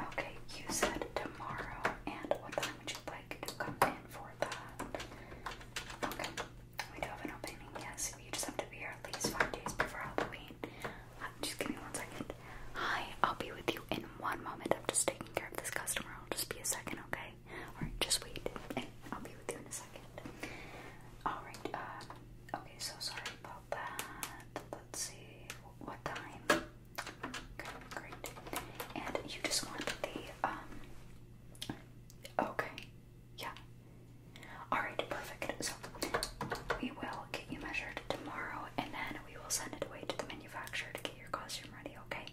Okay, you said tomorrow, and what time would you like to come in for that? Okay, we do have an opening, yes. You just have to be here at least five days before Halloween. Uh, just give me one second. Hi, I'll be with you in one moment. I'm just taking care of this customer. I'll just be a second, okay? Alright, just wait, I'll be with you in a second. Alright, uh, okay, so sorry about that. Let's see, what time? Okay, great. And you just want the, um, okay, yeah. Alright, perfect. So, we will get you measured tomorrow, and then we will send it away to the manufacturer to get your costume ready, okay?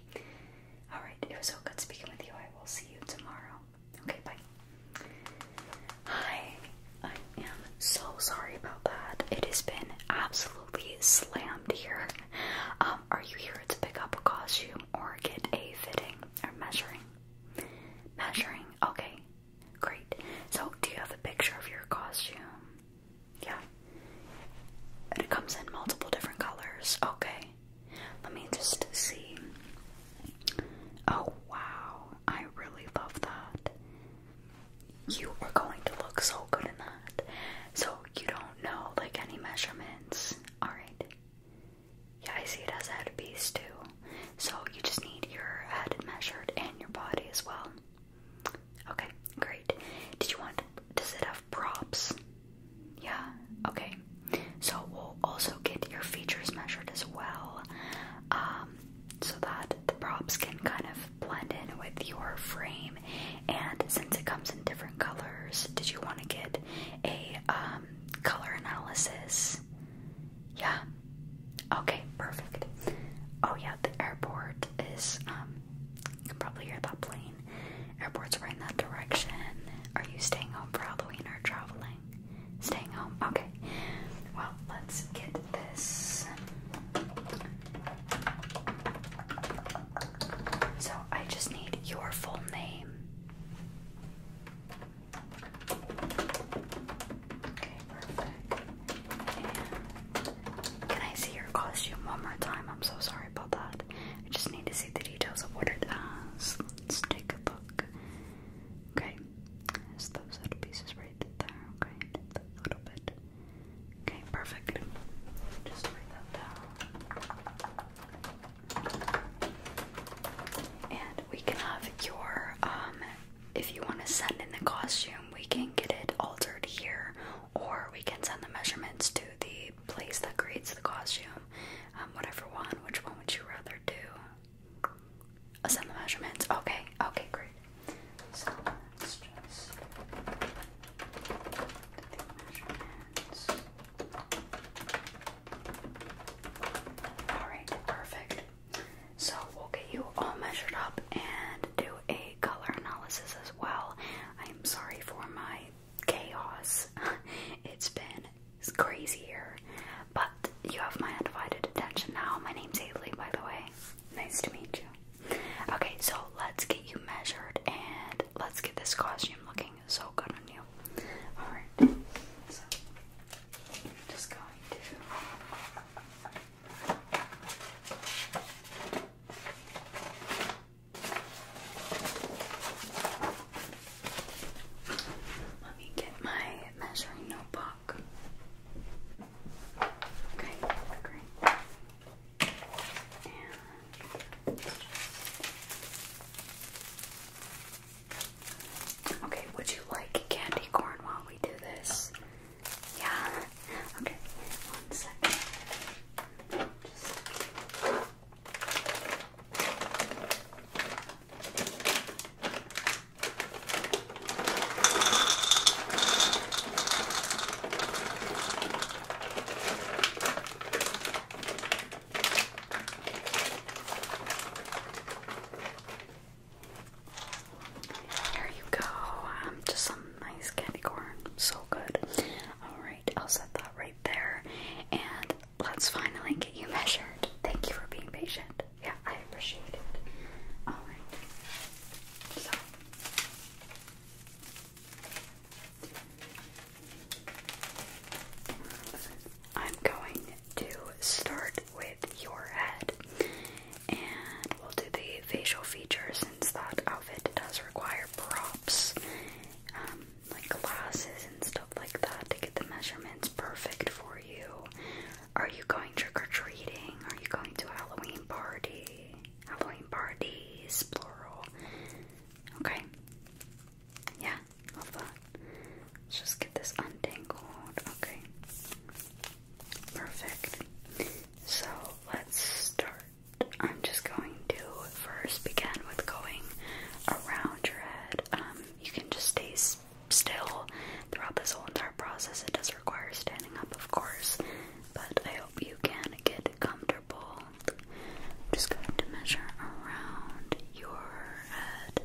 Alright, it was so good speaking with you. I will see you tomorrow. Okay, bye. Hi, I am so sorry about that. It has been absolutely slammed here. Um, are you here to pick up a costume or get a fitting or measuring? Measuring, okay, great. So, do you have a picture of your costume? Yeah. And it comes in multiple different colors. Okay. Let me just see. Oh wow, I really love that. You are going to look so good in that. So you don't know like any measurements. Alright. Yeah, I see it has a headpiece too. So you just need your head measured and your body as well. Okay, great. Did you want does it have props? Yeah, okay. So we'll also get your features measured as well, um, so that the props can kind of blend in with your frame. And since it comes in different colors, did you want to get a um, color analysis? Yeah. Okay, perfect. Oh yeah, the airport is. Um, can probably hear that plane. Airports right in that direction. Are you staying home for Halloween or traveling? Staying home. Okay. Well, let's get this. So I just need your full name. Okay, perfect. can I see your costume one more time? I'm so sorry about that. I just need to see the details of what it has. Let's take a look. Okay, there's those little pieces right there. Okay, that little bit. Okay, perfect. Just write that down. And we can have your, um, if you want to send in the costume, we can get it altered here, or we can send the measurements to the place that creates the costume, um, whatever one, which one would you rather do? Assign the measurements. Okay, okay, great. Alright, perfect. So we'll get you all measured up and do a color analysis as well. I am sorry for my chaos. it's been it's crazy here. But you have my undivided attention now. My name's Haley, by the way. Nice to meet you. Okay, so let's get you measured and let's get this costume looking so good on you. Alright, just going let me get my measuring notebook. Okay, great. Okay, would you like candy corn while we do this? Yeah. Okay. One second. Just there you go. Um, just some nice candy corn. So good. All right, I'll set that right there. And let's finally get you measured. Thank you for being patient. Yeah, I appreciate it. All right. So. I'm going to start with your head and we'll do the facial features since that outfit does require props. Um, like glasses and stuff like that to get the measurements perfect for you. Are you going trick or treating? Are you going to Halloween party? Halloween parties, plural. Okay. Yeah, love that. Let's just get this untangled. Okay. Perfect. So let's start. I'm just going to first begin with going around your head. Um, you can just stay still throughout this whole entire process. It does require standing up, of course, but I hope you can get comfortable. just going to measure around your head,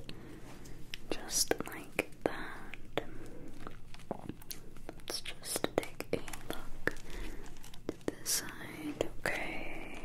just like that. Let's just take a look to this side, okay?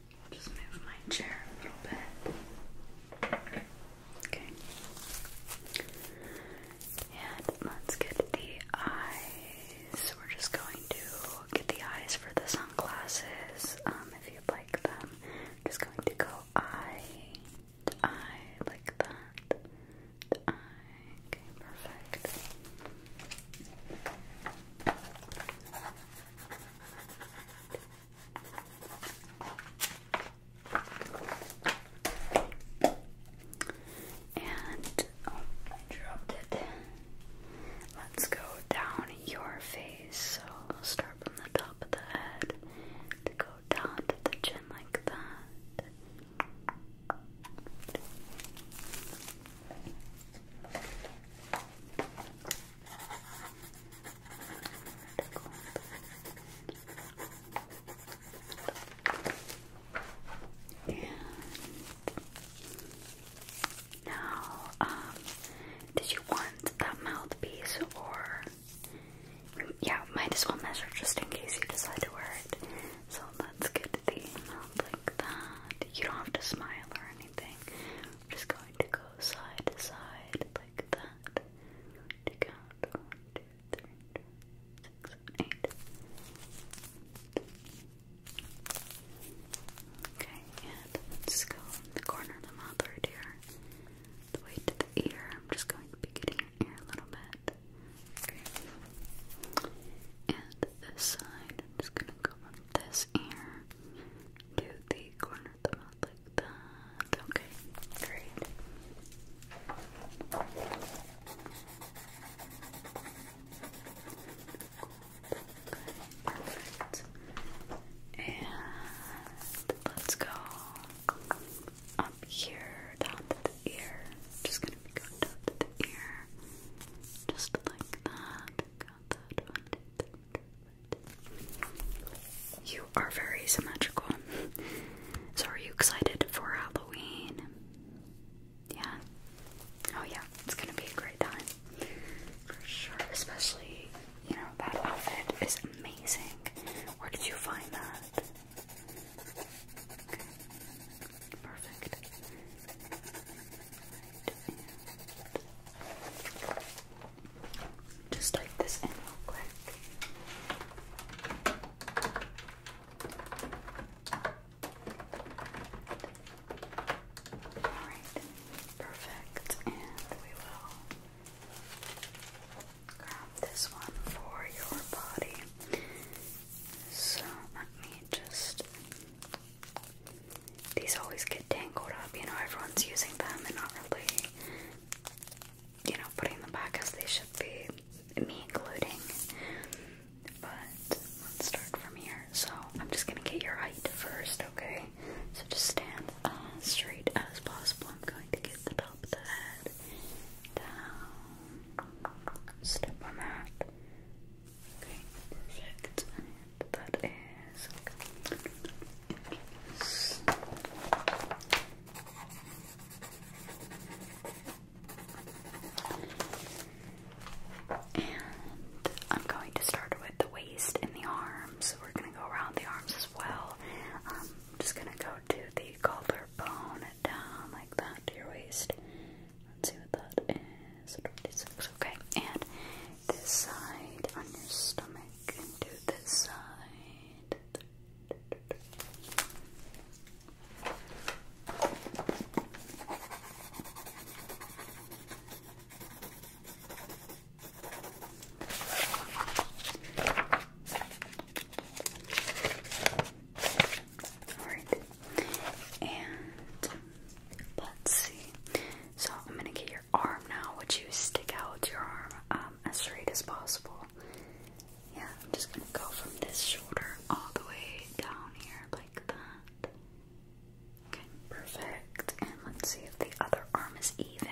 I'll just move my chair a little bit. Okay. And let's get the eyes. We're just going to get the eyes for the sunglasses. Um, if you like them, just going to go eye eye like that. eye. Okay, Perfect. And oh, dropped it. Let's go down your face. So start from the top of the head to go down to the chin like that. And now, um, did you want that mouthpiece or? Yeah, might as well measure just in case you decide to wear it. So let's get the mouth like that. You don't have to smile or anything. I'm just going to go side to side like that. To Okay, and let's go in the corner of the mouth right The way to the ear. I'm just going to be getting your a little bit. Okay. And this side, I'm just gonna go this ear do the corner of the mouth like that. Okay, great. And let's go up here, down to the ear. just gonna be going down to the ear, just like that. Got that one, two, three, you are very symmetrical. So, are you excited for Halloween? Yeah. Oh, yeah. It's gonna be a great time. For sure. Especially, you know, that outfit is amazing. Where did you find that? Perfect. Just type this in real quick. Alright, perfect. And we will grab this one for your body. So let me just these always get tangled up, you know, everyone's using them and not really, you know, putting them back as they should be, me including. But let's start from here. So I'm just gonna get your height first, okay? So just stand as uh, straight as possible. I'm going to get the top of the head down. Step on that. Okay, perfect that is and I'm going to start with the waist and the arms. We're going to go around the arms as well. Um, I'm just going to go to the collarbone down like that to your waist. Let's see what that is. okay. And this side on your stomach and do this side. Alright, and let's see. So, I'm gonna get your arm now. Would you stick out your arm um, as straight as possible? Yeah, I'm just gonna go from this shoulder all the way down here like that. Okay, perfect. And let's see if the other arm is even.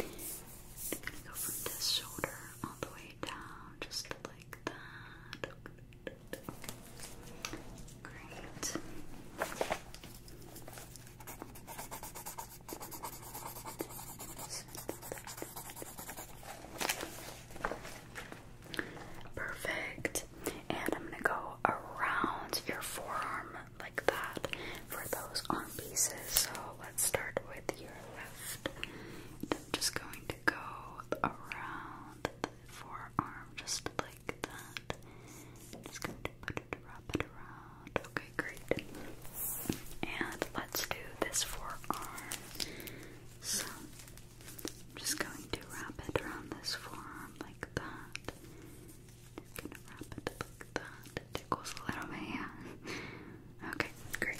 I'm gonna go from this shoulder all the way down, just like that. Great. Perfect. And I'm going to go around your forearm like that for those arm pieces. So let's start with your left. I'm just going to go around the forearm just like that. just going to put Okay, great. And let's do this forearm. So I'm just going to wrap it around this forearm like that. gonna wrap it like that. It a little bit, yeah. Okay, great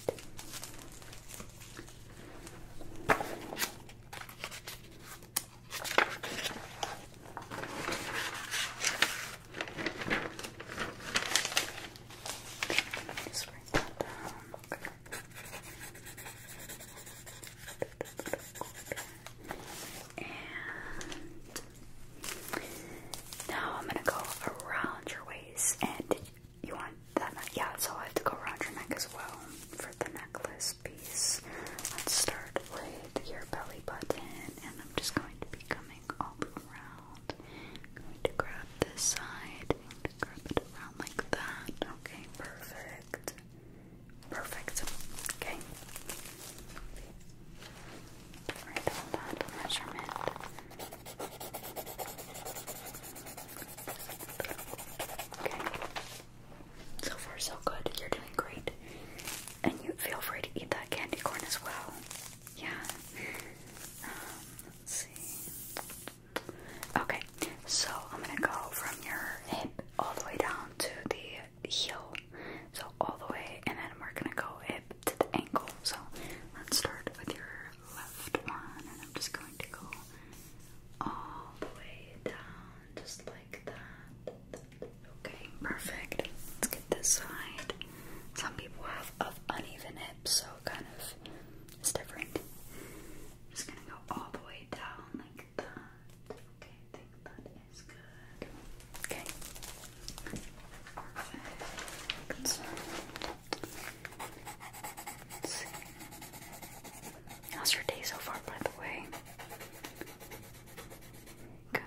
now I'm gonna go around your waist, and you want that Yeah, so I have to go around your neck as well for the necklace. Let's start with your belly button, and I'm just going to be coming all around. going to grab this side and grab it around like that. Okay, perfect. Perfect. Okay. Right on that measurement. Okay. So far, so good. You're doing great. And you feel free to eat that candy corn as well. Yeah. Um, let's see. Okay, so I'm gonna go from your hip all the way down to the heel. So all the way, and then we're gonna go hip to the ankle. So let's start with your left one, I'm just going to go all the way down, just like that. Okay, perfect. Let's get this side. Some people have uneven hips, so kind of it's different. just gonna go all the way down like that. Okay, I think that is good. Okay. How's your day so far, by the way? Good.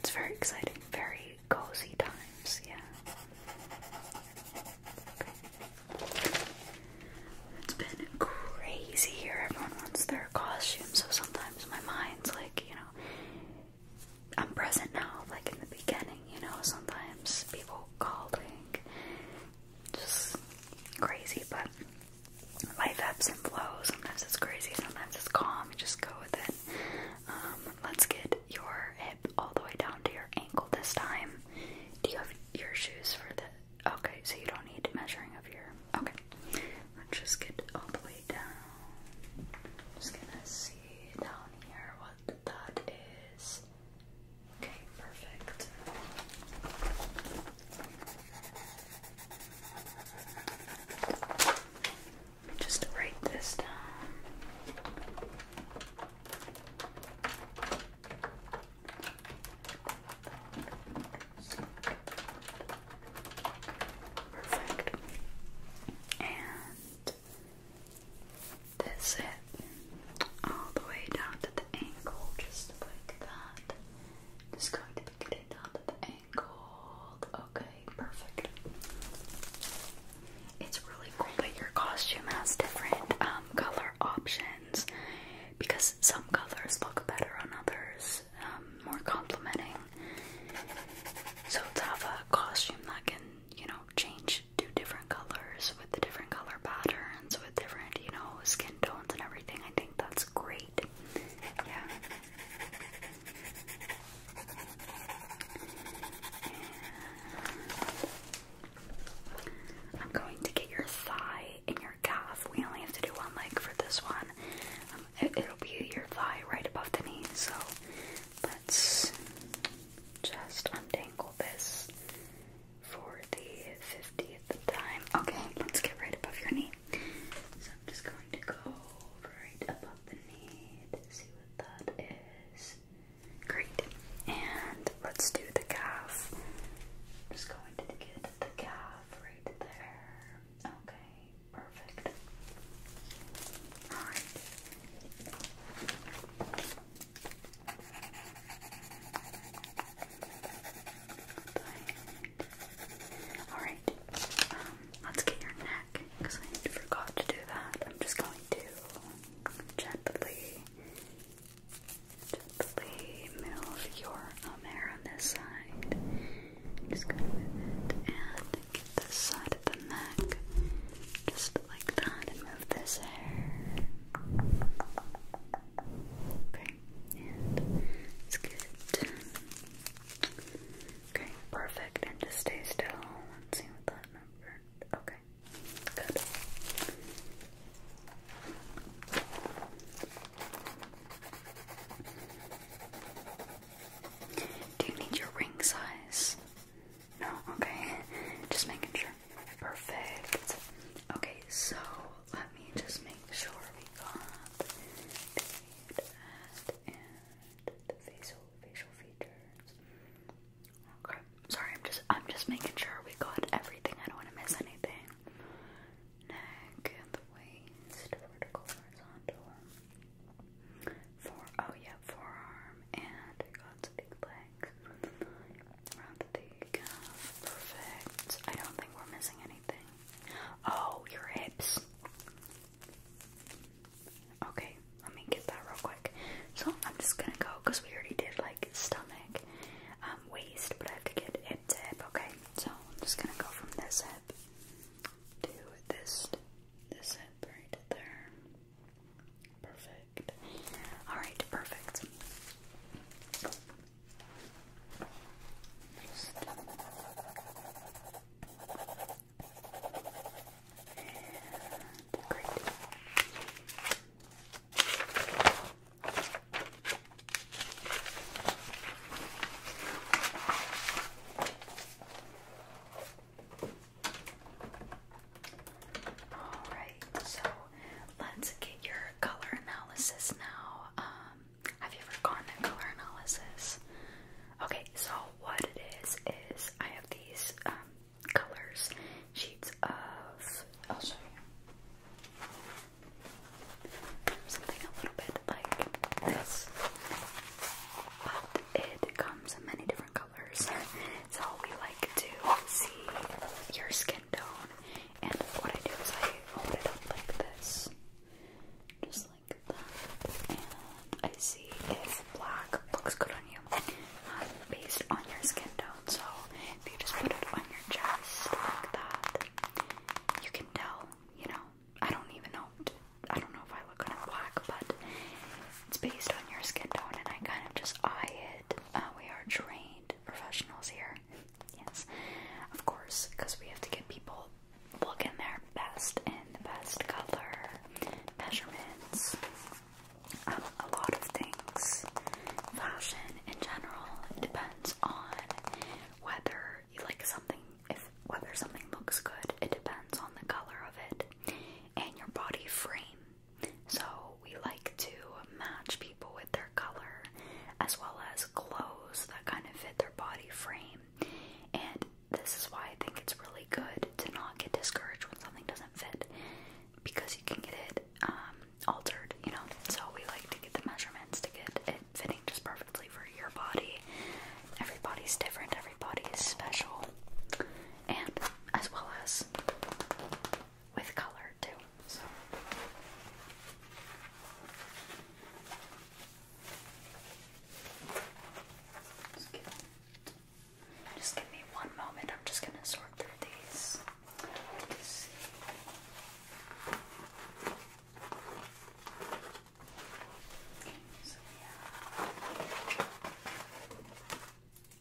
It's very exciting, very cozy times, yeah. It's been crazy here. Everyone wants their costume, so sometimes my mind's like, you know, I'm present now, like in the beginning, you know, sometimes people calling, just crazy, but life ebbs and flows. Sometimes it's crazy, sometimes it's calm. You just go with it. Um, let's get your hip all the way down to your ankle this time. Do you have your shoes for the? Okay, so you don't need measuring of your. Okay, let's just get all the way down. just gonna see down here what that is. Okay, perfect. Just write this down. Perfect. And that's it. All the way down to the ankle, just like that. Just going to be getting down to the ankle. Okay, perfect. It's really cool that your costume has different um, color options because some colors look better on others, um, more complimenting. So to have a costume that can, you know, change to different colors with the different color patterns, with different, you know, skin skin and everything. I think that's great. Yeah. I'm going to get your thigh and your calf. We only have to do one leg for this one. Um, it'll be your thigh right above the knee. So let's just untangle this for the 50th time. Okay, let's get right above your knee. So I'm just going to go right above the knee to see what that is. Great. And let's do the calf. just going to get the calf right there. Okay, perfect. Alright. Alright, um, let's get your neck because I forgot to do that. I'm just going to gently, gently move your um, hair on this side. and get this side of the neck just like that move this hair and it's Okay, perfect. And just stay still. let see what that number. Okay, good. Do you need your ring size? No, okay. Just making sure. Perfect. Okay, so let me just make sure we got the head and the facial facial features. Okay. Sorry, I'm just I'm just making sure we got everything. I don't want to miss anything. Neck, the waist, vertical, horizontal. Fore oh yeah, forearm and I got big legs. Perfect. I don't think we're missing anything. Oh, your hips. Okay, let me get that real quick. So I'm just gonna go because we already did like stomach, um, waist, but I have to get hip Okay, so I'm just gonna go from this hip to this this hip right there. Perfect. All right, perfect. Just and All right, so let's get your color analysis now. Um, have you ever gone to color analysis? Okay, so what it is is I have these um, colors, sheets of. I'll show you something a little bit like this, but it comes in many different colors. so we like to see your skin tone and what I do is I hold it up like this, just like that, and I see if black looks good on you um, based on your skin tone. So if you just put it on your chest like that, you can tell. You know, I don't even know. I don't know if I look kind of black, but it's based on your skin tone, and I kind of just eye it. Uh, we are trained professionals here. Yes. Of course, because we have to get people looking their best in the best color, measurements, um, a lot of things. Fashion in general depends on whether you like something, if whether something looks good, it depends on the color of it and your body frame so we like to match people with their color as well as clothes that kind of fit their body frame. And this is why I think it's really good to not get discouraged when something doesn't fit because you can get it um, altered, you know. So we like to get the measurements to get it fitting just perfectly for your body. Everybody's different, everybody is special. And as well as with color, too. Just give, me one moment. I'm just gonna sort through these. Let's see. So, yeah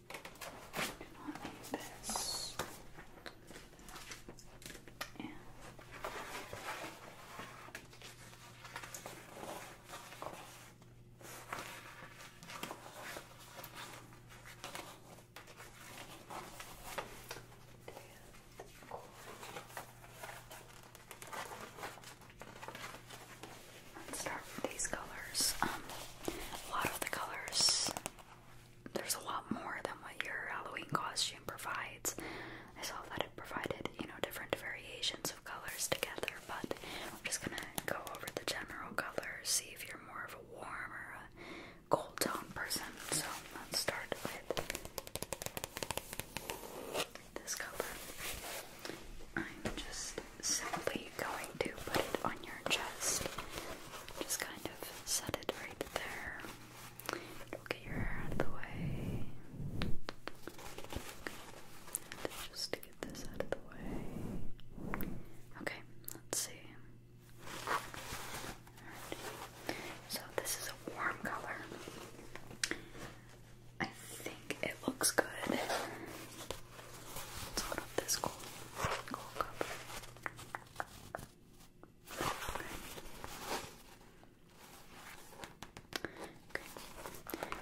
do not And start with these colors. Um, a lot of the colors there's a lot more than what your Halloween costume provides. I saw that it provided, you know, different variations of colors together, but I'm just gonna go over the general colors, see if you're more of a warm or a cold tone person. So let's start with this color. I'm just simply going to put it on your chest. Just kind of set it right there. We'll get your hair out of the way. Just get this out of the way. Okay, let's see. So this is a warm color. I think it looks good. Let's hold up this cool, cool cup.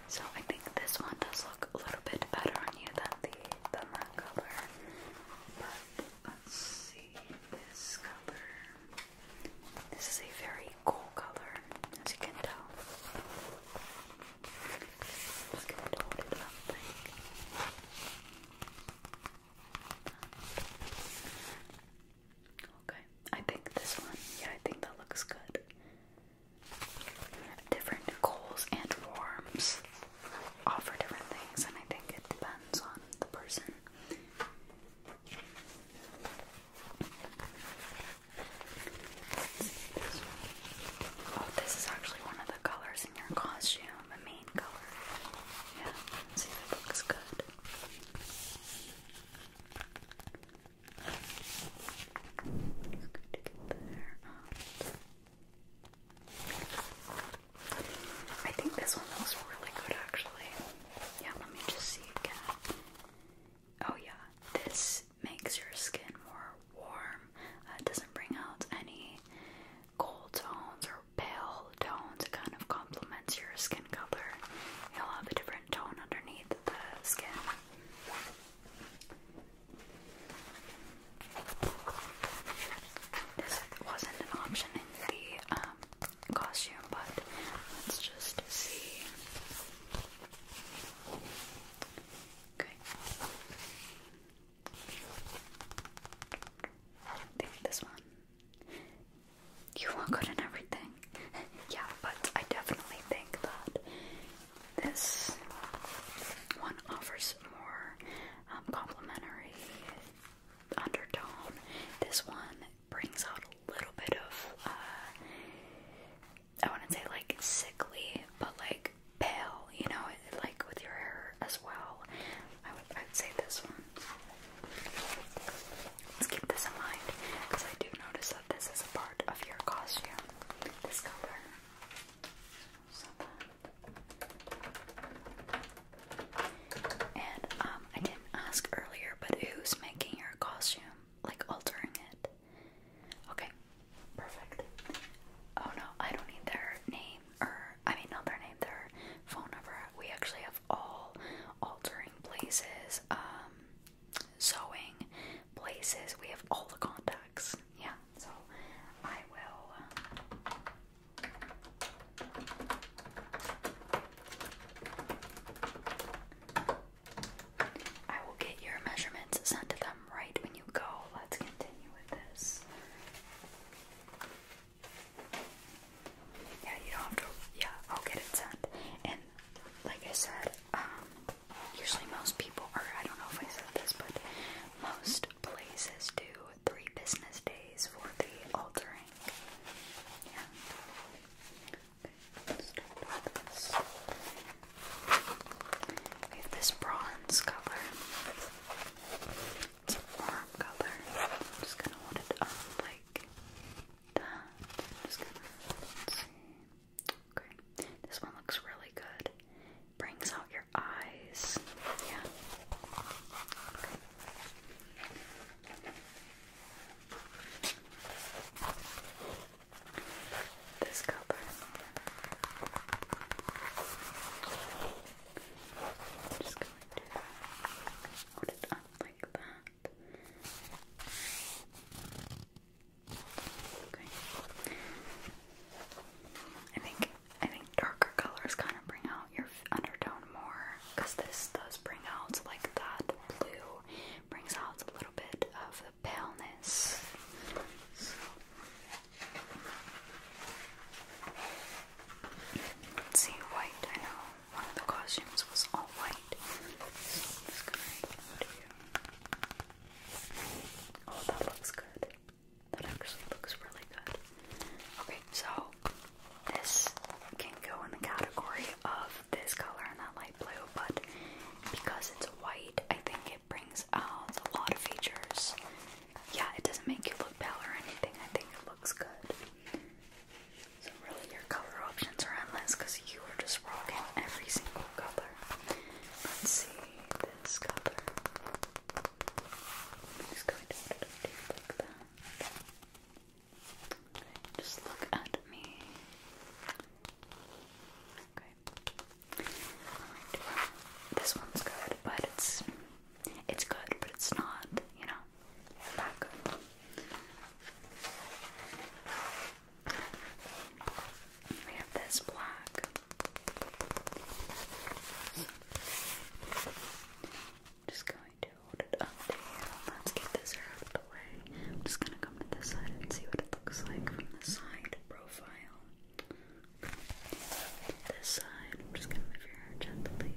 So I think this one does look a little bit better on you than the than that color. But let's see this color. This is a very cool color, as you can tell. Okay, I think this one. Yeah, I think that looks good. Different goals and warms offer different things, and I think it depends on the person. oh, this is actually one of the colors in your costume. I think this one looks really good actually. Yeah, let me just see again. Oh yeah, this makes your skin more warm. it uh, doesn't bring out any cool tones or pale tones. It kind of complements your skin color. You'll have a different tone underneath the skin. This wasn't an option in the um, costume, but let's just see. Okay. I think this one. You are good in everything. yeah, but I definitely think that this one offers more um, complimentary undertone. This one brings out a little bit of, uh, I wouldn't say like sickly, but like pale, you know, like with your hair as well. I would say this one. Let's keep this in mind because I do notice that this is a part of your costume. This color. and um, I didn't ask earlier, but who's making your costume? Like altering it? Okay, Perfect. Oh no, I don't need their name or I mean not their name, their phone number. We actually have all altering places, um, sewing places. We have all the contacts. Yeah. So I will um, I will get your measurements sent to them right when go. Let's continue with this. Yeah, you don't have to. Yeah, I'll get it done. And like I said, um, usually most people, or I don't know if I said this, but most places do three business days for the altering. Yeah. Okay, let with this. We have this bronze color. It's a warm color. I'm just gonna hold it up like that. just gonna see. Okay. This one looks really good. Brings out your eyes. Yeah. This color i just going to hold it up like that. Okay. I think I think darker colors kind of bring out your undertone more, cause this does bring out like that blue brings out a little bit of the paleness see, white. I know one of the costumes was all white. Oh, that looks good. That actually looks really good. Okay, so this can go in the category of this color and that light blue, but because it's white, I think it brings out a lot of features yeah, it doesn't make you look pale or anything. I think it looks good. So really, your color options are endless because you are just rocking every single color. Let's see this color. just going to put just look at me. Okay this one's good, but it's it's good, but it's not, you know, that We have this black. Just going to hold it up to Let's get this out of the way. I'm just gonna come to this side and see what it looks like from the side profile. This side, I'm just gonna move your hair gently.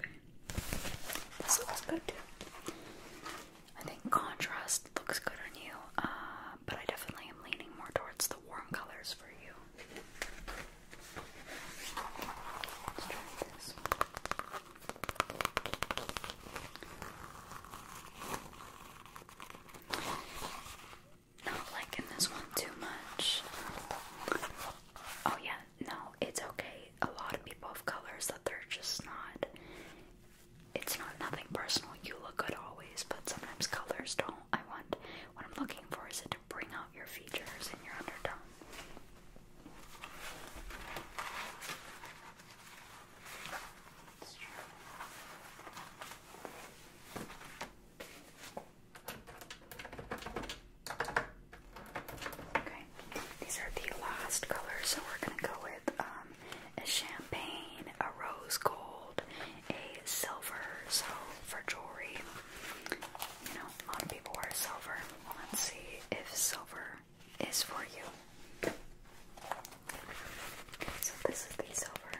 Okay. This looks good I think contrast looks good on you, uh, but I definitely am leaning more towards the warm colors for you. Let's try this not liking this one too much. Oh, yeah, no, it's okay. A lot of people of colors that they're just not. It's not nothing personal. You look good always, but sometimes colors don't. I want what I'm looking for is it to bring out your features and your undertone. Okay, these are the last colors, so we're gonna go with um, a champagne, a rose gold, a silver. So for jewelry, you know, a lot of people wear silver. Let's see if silver is for you. So this is the silver.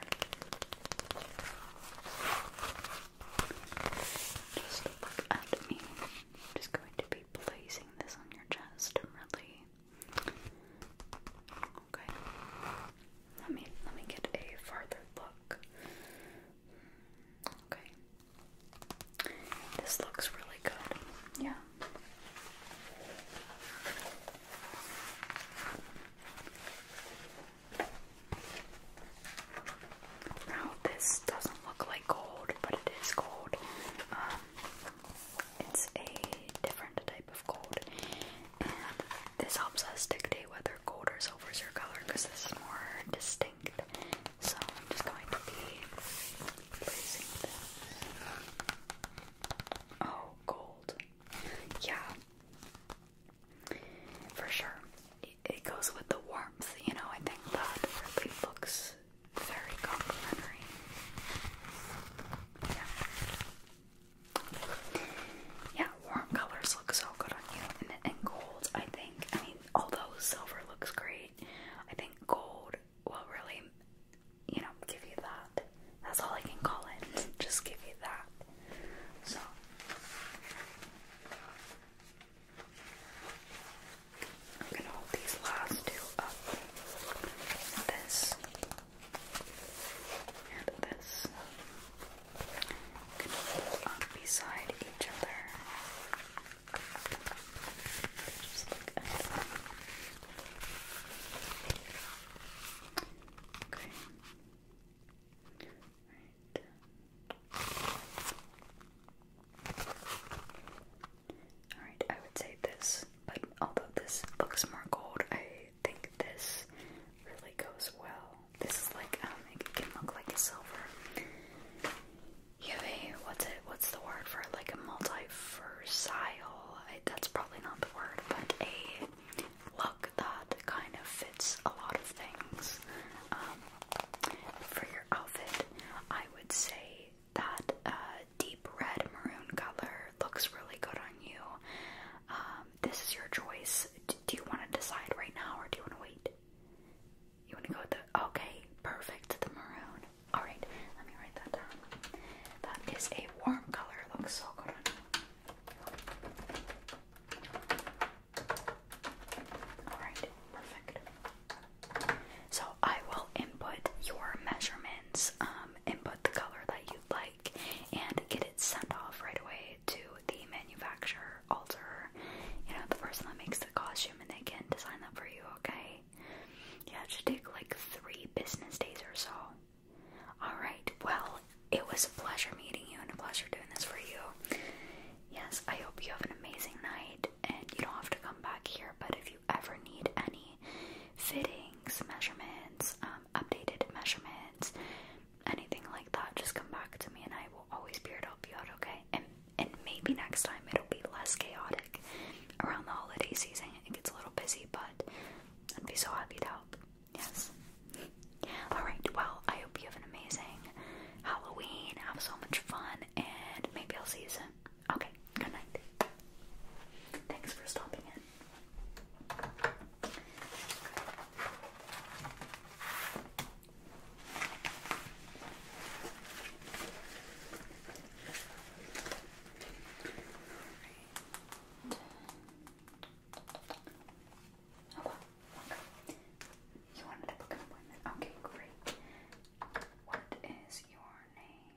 Just look at me. I'm just going to be placing this on your chest, really. Okay. Let me let me get a farther look. Okay. This looks really good. Yeah. Now this doesn't look like gold, but it is gold. Um, it's a different type of gold, and this helps us dictate whether gold or silver is your color because this is more distinct. So I'm just going to be placing this. Oh, gold. Yeah. For sure. It goes with the warmth, you know, I think that really looks very complimentary. Yeah. Yeah, warm colors look so good on you. and gold, I think, I mean, although silver looks great, I think gold will really, you know, give you that. That's all I can call it. Just give you that. So. I'm gonna hold these last two up. This and this. up beside each other. Just look at Alright, I would say this, but although this looks more gold, I think this really goes well. This is like, um, it can look like a silver. You have a, what's it, what's the word for Like a multiversal, that's probably not the word, but a look that kind of fits a lot of things. Um, for your outfit, I would say that uh, deep red maroon color looks really good on you. Um, this is your choice. do you want to decide right now or do you want to wait? You want to go with the okay, perfect, the maroon. Alright, let me write that down. That is a warm color. looks so good Alright, perfect. So I will input your measurements, um, input the color that you'd like, and get it sent off right away to the manufacturer, alter, you know, the person that makes the costume, and they can design that for you, okay? Yeah, it should take like three business days or so. Alright, well, it was a pleasure meeting you and a pleasure doing this for you. Yes, I hope you have an amazing night and you don't have to come back here, but if you ever need any fittings, measurements, um, updated measurements, anything like that, just come back to me and I will always be here to help you out, okay? And and maybe next time it'll be less chaotic around the holiday season it gets a little busy, but I'd be so happy to help. Yes. Alright, well, I hope you have an amazing Halloween. Have so much fun, and maybe I'll see you soon. Okay, good night. Thanks for stopping in right. Oh, You wanted to book appointment. Okay, great. What is your name?